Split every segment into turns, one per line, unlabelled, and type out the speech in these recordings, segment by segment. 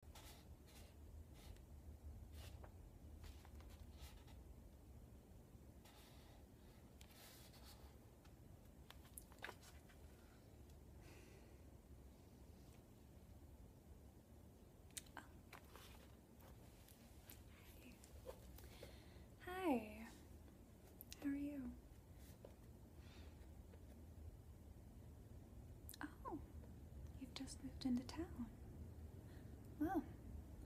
Oh. Hi. How are you? Oh, you've just moved into town. Well,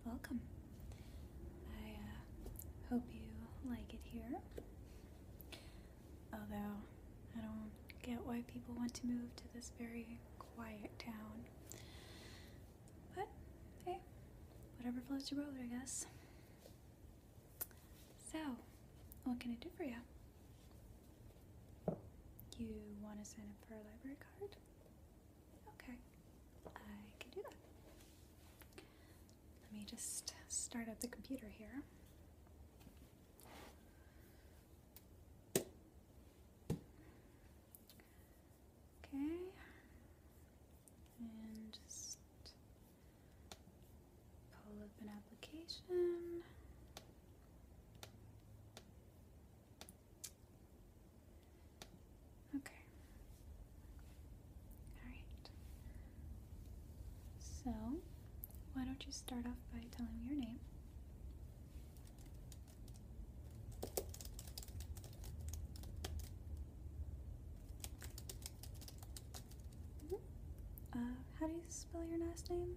welcome. I uh, hope you like it here. Although, I don't get why people want to move to this very quiet town. But, hey, whatever floats your boat, I guess. So, what can I do for you? You want to sign up for a library card? Okay, I can do that. Let me just start up the computer here. Okay, and just pull up an application. Okay. Alright. So, why don't you start off by telling me your name? Mm-hmm. Uh, how do you spell your last name?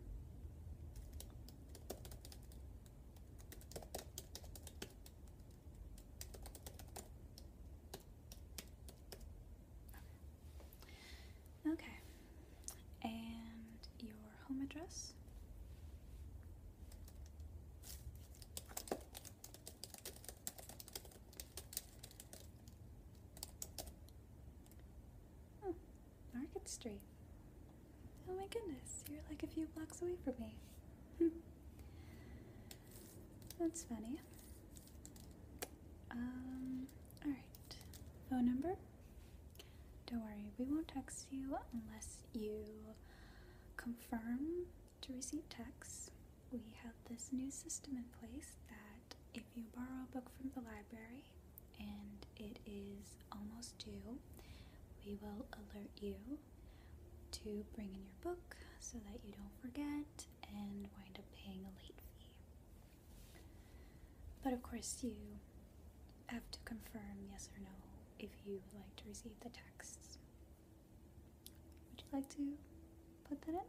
Okay. And your home address? Hmm. Market Street. Oh my goodness, you're like a few blocks away from me. Hmm. That's funny. Um, alright. Phone number? Don't worry, we won't text you unless you confirm to receive texts. We have this new system in place that if you borrow a book from the library, and it is almost due, we will alert you to bring in your book so that you don't forget and wind up paying a late fee. But of course, you have to confirm yes or no if you would like to receive the texts. Would you like to put that in?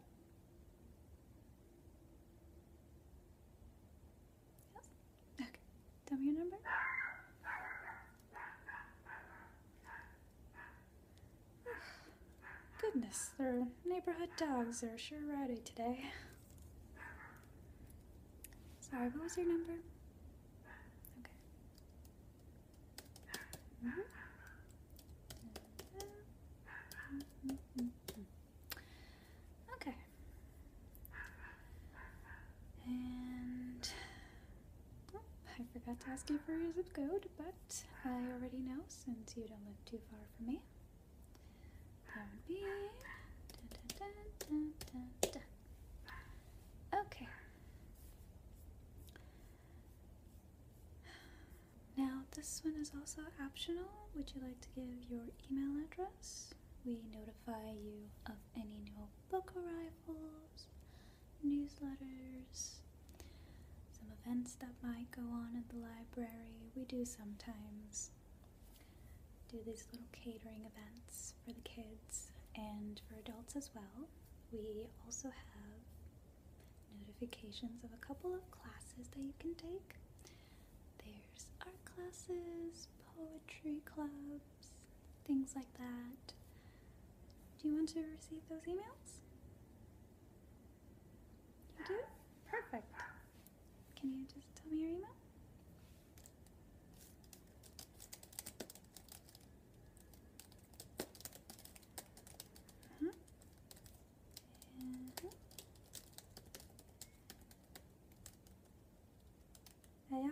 Yeah. Okay. Tell me your number. Goodness, their neighborhood dogs are sure rowdy today. Sorry, what was your number? Okay. Mm-hmm. Okay. And oh, I forgot to ask you for your zip code, but I already know since you don't live too far from me. That would be. okay. Now, this one is also optional. Would you like to give your email address. We notify you of any new book arrivals, newsletters, some events that might go on at the library. We do sometimes do these little catering events for the kids and for adults as well. We also have notifications of a couple of classes that you can take. There's art classes, poetry clubs, things like that. Do you want to receive those emails? You do? Perfect. Can you just tell me your email? -hmm yeah.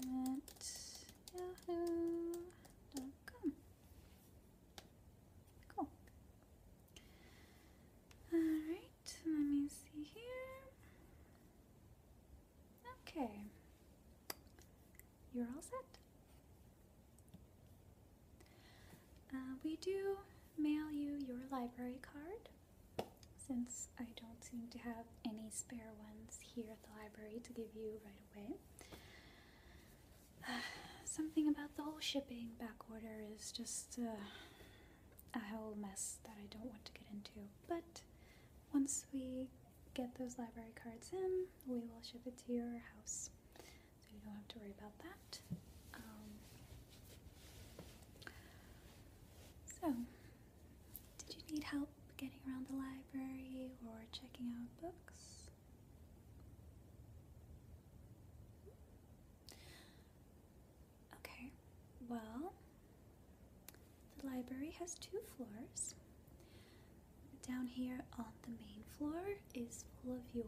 Yahoo at yahoo.com. Cool. Alright, let me see here. Okay. You're all set. Uh, we do mail you your library card since I don't seem to have any spare ones here at the library to give you right away. something about the whole shipping back order is just uh, a whole mess that I don't want to get into. But once we get those library cards in, we will ship it to your house so you don't have to worry about that. Um, so, did you need help getting around the library or checking out books? Okay, well, the library has two floors. Down here on the main floor is full of your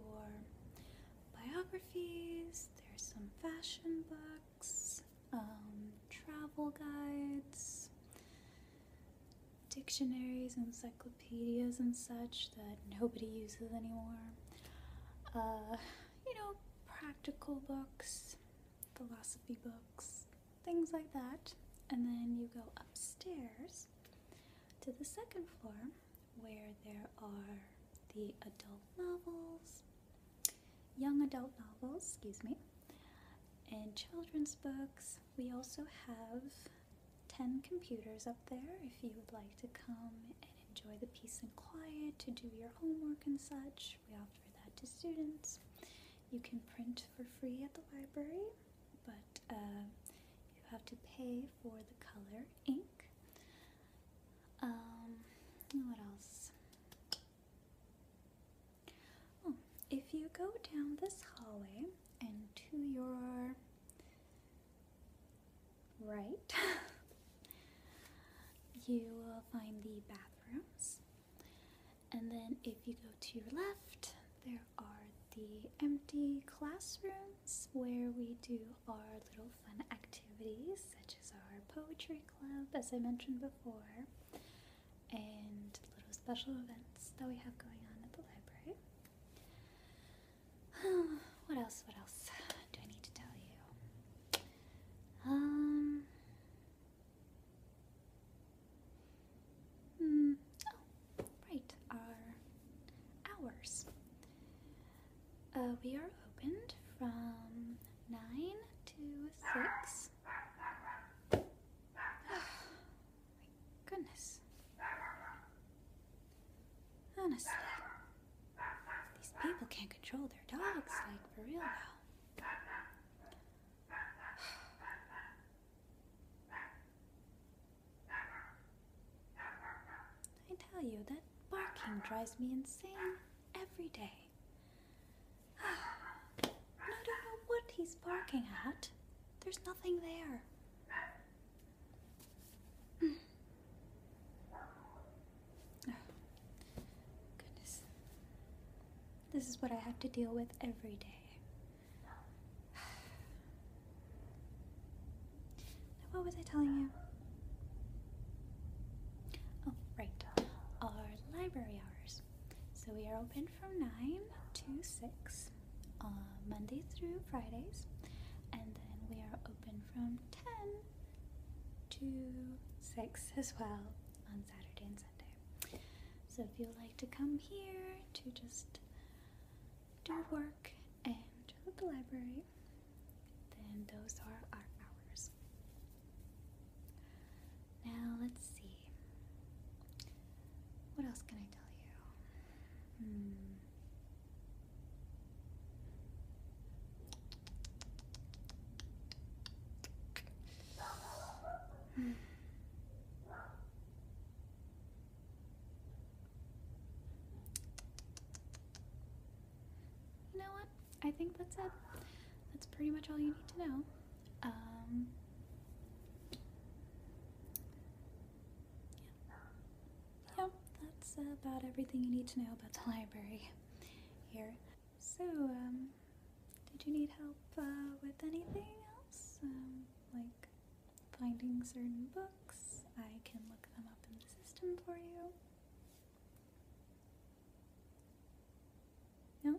biographies, there's some fashion books, um, travel guides, dictionaries, encyclopedias, and such that nobody uses anymore. Uh, you know, practical books, philosophy books, things like that. And then you go upstairs to the second floor where there are the adult novels, young adult novels, excuse me, and children's books. We also have 10 computers up there if you would like to come and enjoy the peace and quiet, to do your homework and such. We offer that to students. You can print for free at the library, but um, you have to pay for the color ink. Um, what else? Oh, if you go down this hallway and to your right, you will find the bathrooms. And then if you go to your left, there are the empty classrooms where we do our little fun activities, such as our poetry club, as I mentioned before, and little special events that we have going on at the library. what else? What else do I need to tell you? Um. Mm, Right, our hours. Uh, we are opened from 9 to 6. my goodness. Honestly, these people can't control their dogs, like, for real now. I tell you, that barking drives me insane every day. I don't know what he's barking at. There's nothing there. goodness. This is what I have to deal with every day. what was I telling you? Oh, right. Our library hours. So we are open from 9 to 6 on uh, Monday through Fridays, and then we are open from 10 to 6 as well on Saturday and Sunday. So if you would like to come here to just do work and the library, then those are our hours. Now let's see. What else can I tell you? Hmm. hmm. You know what? I think that's it. That's pretty much all you need to know. Um, that's about everything you need to know about the library here. So, um, did you need help uh, with anything else? Um, like finding certain books. I can look them up in the system for you. No?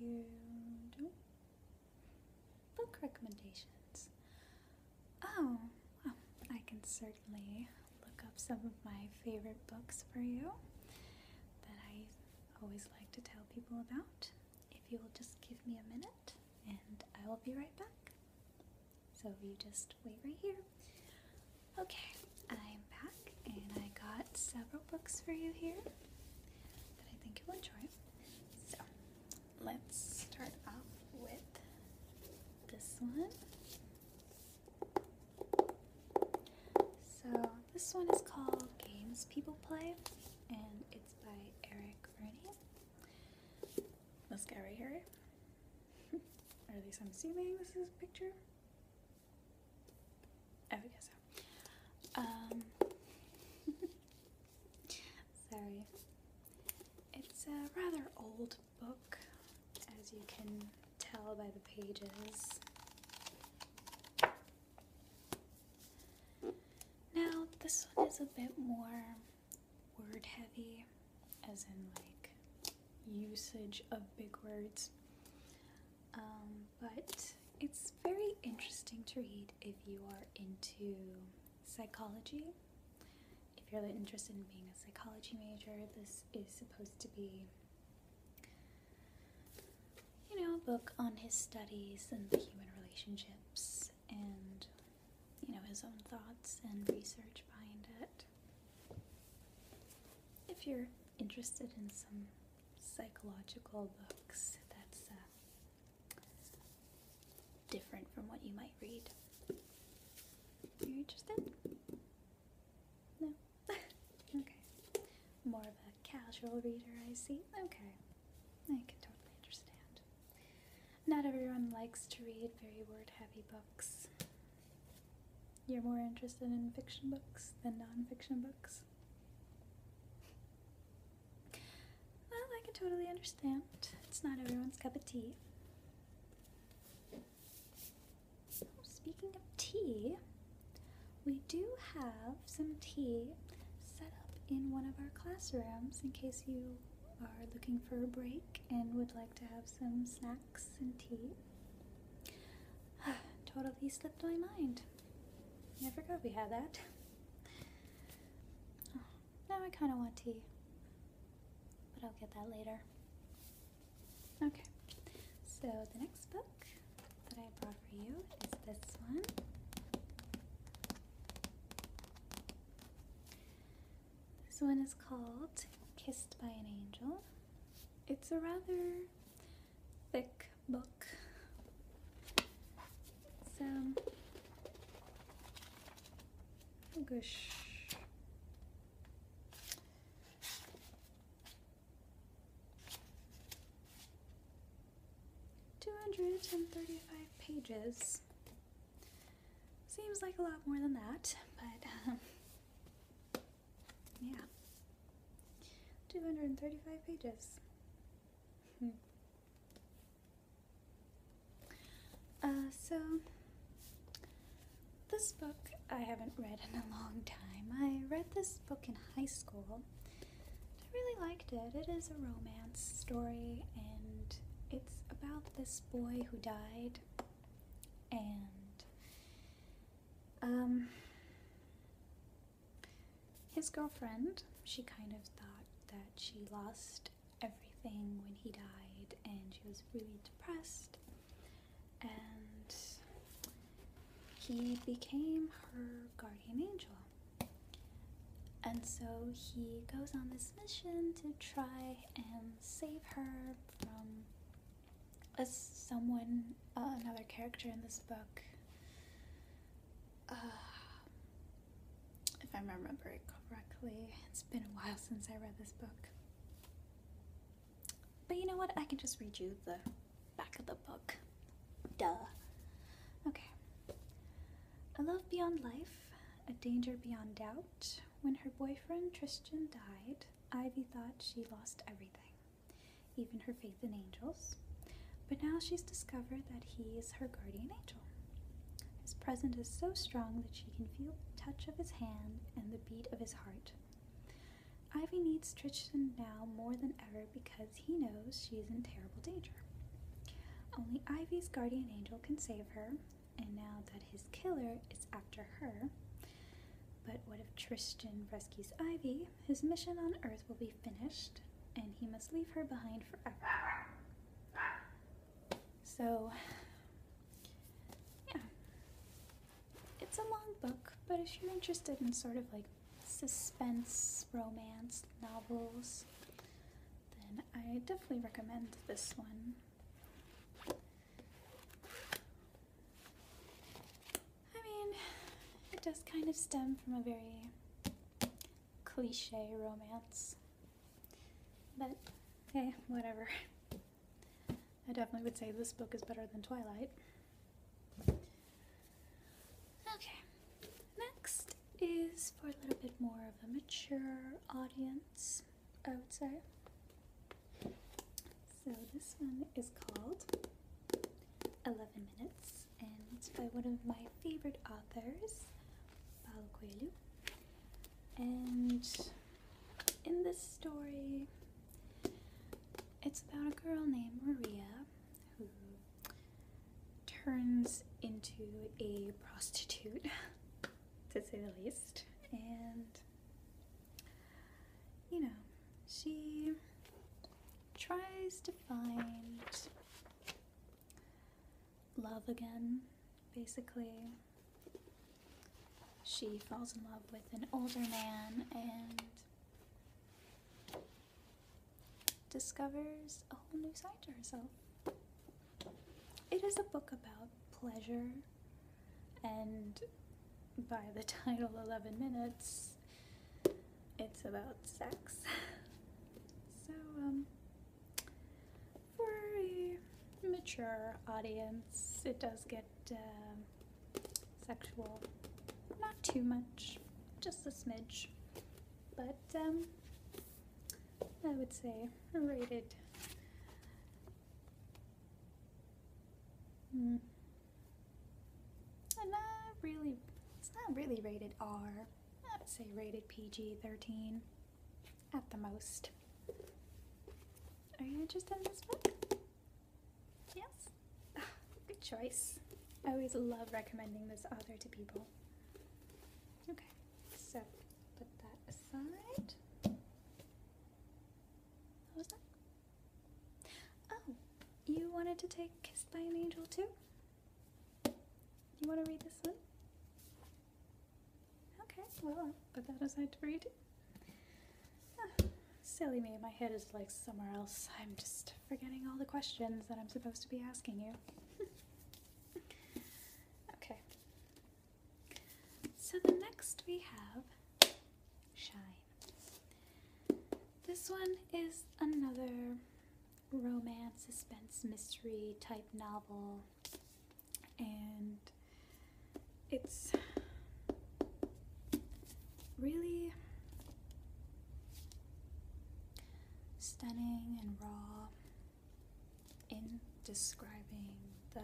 You don't? Book recommendations. Oh, oh, I can certainly look up some of my favorite books for you that I always like to tell people about if you will just give me a minute and I will be right back. So you just wait right here. Okay, I'm back and I got several books for you here that I think you'll enjoy. So let's start off with this one. So this one is called Games People Play and it's by Eric Rennie. This guy right here. or at least I'm assuming this is a picture. I guess so. Um, sorry. It's a rather old book, as you can tell by the pages. Now, this one is a bit more word heavy, as in like usage of big words. Um, but it's very interesting to read if you are into psychology. If you're interested in being a psychology major, this is supposed to be, you know, a book on his studies and the human relationships and you know his own thoughts and research behind it. If you're interested in some psychological books, that's uh, different from what you might read. Are you interested? No? okay. More of a casual reader, I see. Okay. I can totally understand. Not everyone likes to read very word heavy books. You're more interested in fiction books than non-fiction books. Well, I can totally understand. It's not everyone's cup of tea. Speaking of tea, we do have some tea set up in one of our classrooms in case you are looking for a break and would like to have some snacks and tea. totally slipped my mind. I forgot we had that. now I kind of want tea, but I'll get that later. Okay, so the next book that I brought for you is this one. This one is called Kissed by an Angel. It's a rather thick book. So, oh gosh. 235 pages. Seems like a lot more than that, but um, yeah. 235 pages. Hmm. Uh, so, this book I haven't read in a long time. I read this book in high school, I really liked it. It is a romance story, and it's about this boy who died, and um, his girlfriend. She kind of thought that she lost everything when he died, and she was really depressed. And he became her guardian angel. And so he goes on this mission to try and save her from a, someone, uh, another character in this book. Uh, if I remember it correctly, it's been a while since I read this book. But you know what? I can just read you the back of the book. Duh. Okay. A Love Beyond Life, A Danger Beyond Doubt. When her boyfriend Tristan died, Ivy thought she lost everything, even her faith in angels. But now she's discovered that he is her guardian angel. His presence is so strong that she can feel the touch of his hand and the beat of his heart. Ivy needs Tristan now more than ever because he knows she's in terrible danger. Only Ivy's guardian angel can save her, and now that his killer is after her, but what if Tristan rescues Ivy? His mission on Earth will be finished, and he must leave her behind forever. So, yeah. It's a long book, but if you're interested in sort of like suspense romance novels, then I definitely recommend this one. I mean, it does kind of stem from a very cliche romance, but hey, whatever. I definitely would say this book is better than Twilight. Okay, next is for a little bit more of a mature audience, I would say. So this one is called 11 Minutes, and it's by one of my favorite authors, Paulo Coelho. And in this story, it's about a girl named Maria who turns into a prostitute, to say the least. And, you know, she tries to find love again, basically. She falls in love with an older man and discovers a whole new side to herself. It is a book about pleasure, and by the title 11 Minutes, it's about sex. so, um, for a mature audience, it does get um, sexual. Not too much, just a smidge but um, I would say rated hmm. not really it's not really rated R I would say rated PG-13 at the most are you interested in this book? Yes? Good choice. I always love recommending this author to people. Okay, so put that aside. What was that? Oh, you wanted to take Kissed by an Angel too? You want to read this one? Okay, well, put that aside for you ah, silly me, my head is like somewhere else. I'm just forgetting all the questions that I'm supposed to be asking you. okay. So the next we have Shine. This one is another romance, suspense, mystery type novel, and it's really stunning and raw in describing the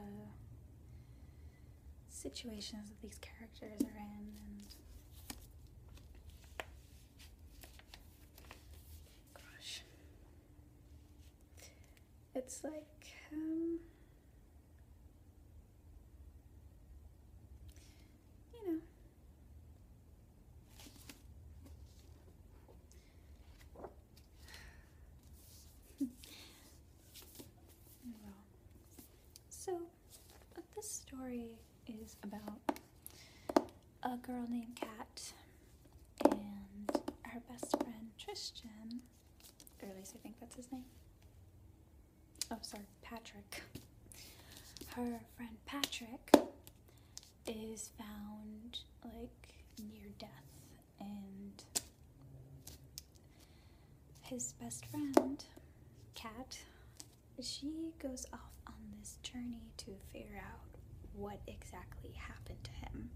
situations that these characters are in and gosh it's like um, you know so this story is about a girl named Kat and her best friend Tristan, at least I think that's his name oh sorry, Patrick. Her friend Patrick is found like near death and his best friend, Kat, she goes off on this journey to figure out what exactly happened to him,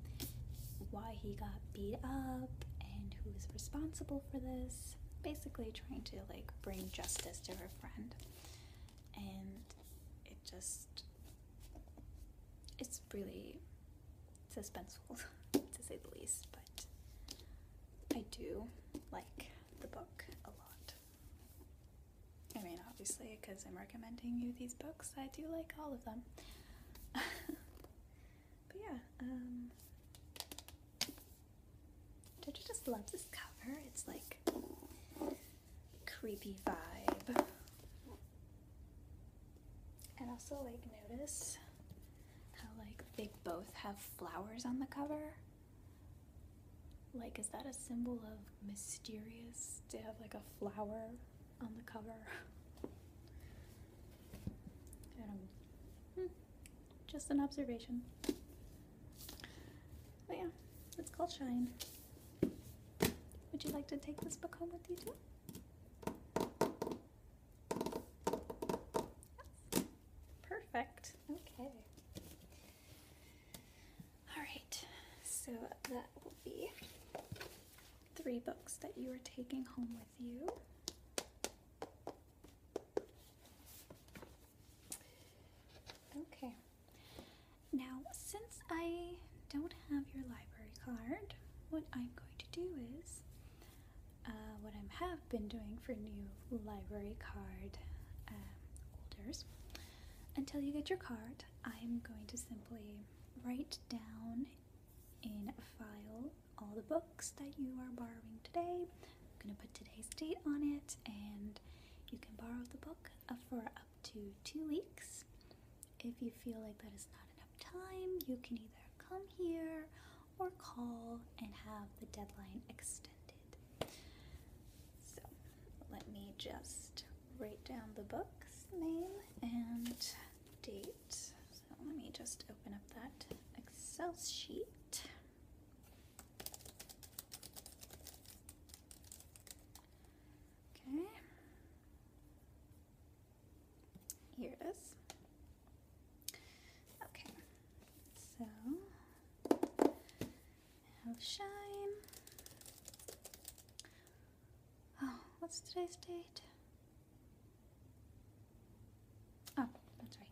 why he got beat up, and who is responsible for this. Basically, trying to like bring justice to her friend and it just it's really suspenseful to say the least but I do like the book a lot I mean obviously because I'm recommending you these books I do like all of them but yeah um, don't you just love this cover? It's like creepy vibe. And also like notice how like they both have flowers on the cover. Like is that a symbol of mysterious to have like a flower on the cover? Just an observation. But yeah, it's called Shine. Would you like to take this book home with you too? Yes. Perfect. Okay. Alright, so that will be three books that you are taking home with you. Okay. Now, since I don't have your library card, what I'm going to do is uh, what I have been doing for new library card um, holders. Until you get your card, I'm going to simply write down in a file all the books that you are borrowing today I'm going to put today's date on it, and you can borrow the book for up to two weeks. If you feel like that is not enough time, you can either come here or call and have the deadline extended. So let me just write down the book's name and date. So let me just open up that Excel sheet. Okay. Here it is. Okay. So, have Oh, what's today's date? oh, that's right.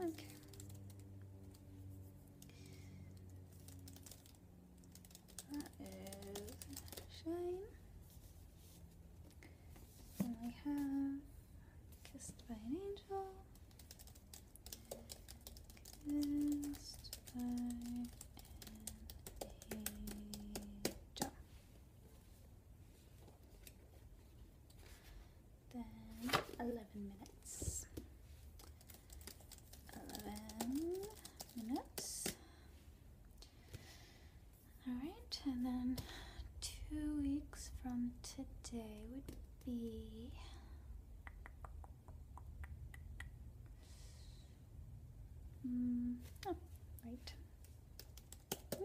Okay. That is shine. we have Kissed by an Angel. Kissed by an Angel. Then 11 minutes. 11 minutes. Alright, and then two weeks from today would be Mm, oh, right. Okay.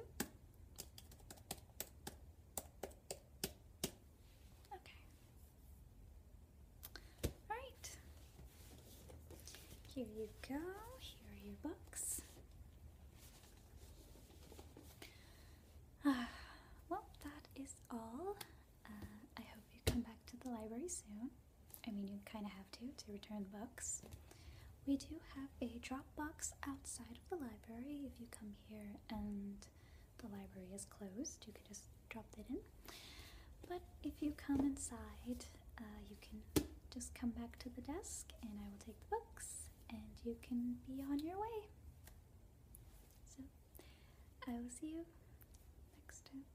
All right. Here you go. Here your books. Uh, well, that is all. Uh, I hope you come back to the library soon. I mean, you kind of have to to return the books. We do have a drop box outside of the library. If you come here and the library is closed, you can just drop that in. But if you come inside, uh, you can just come back to the desk and I will take the books and you can be on your way. So, I will see you next time.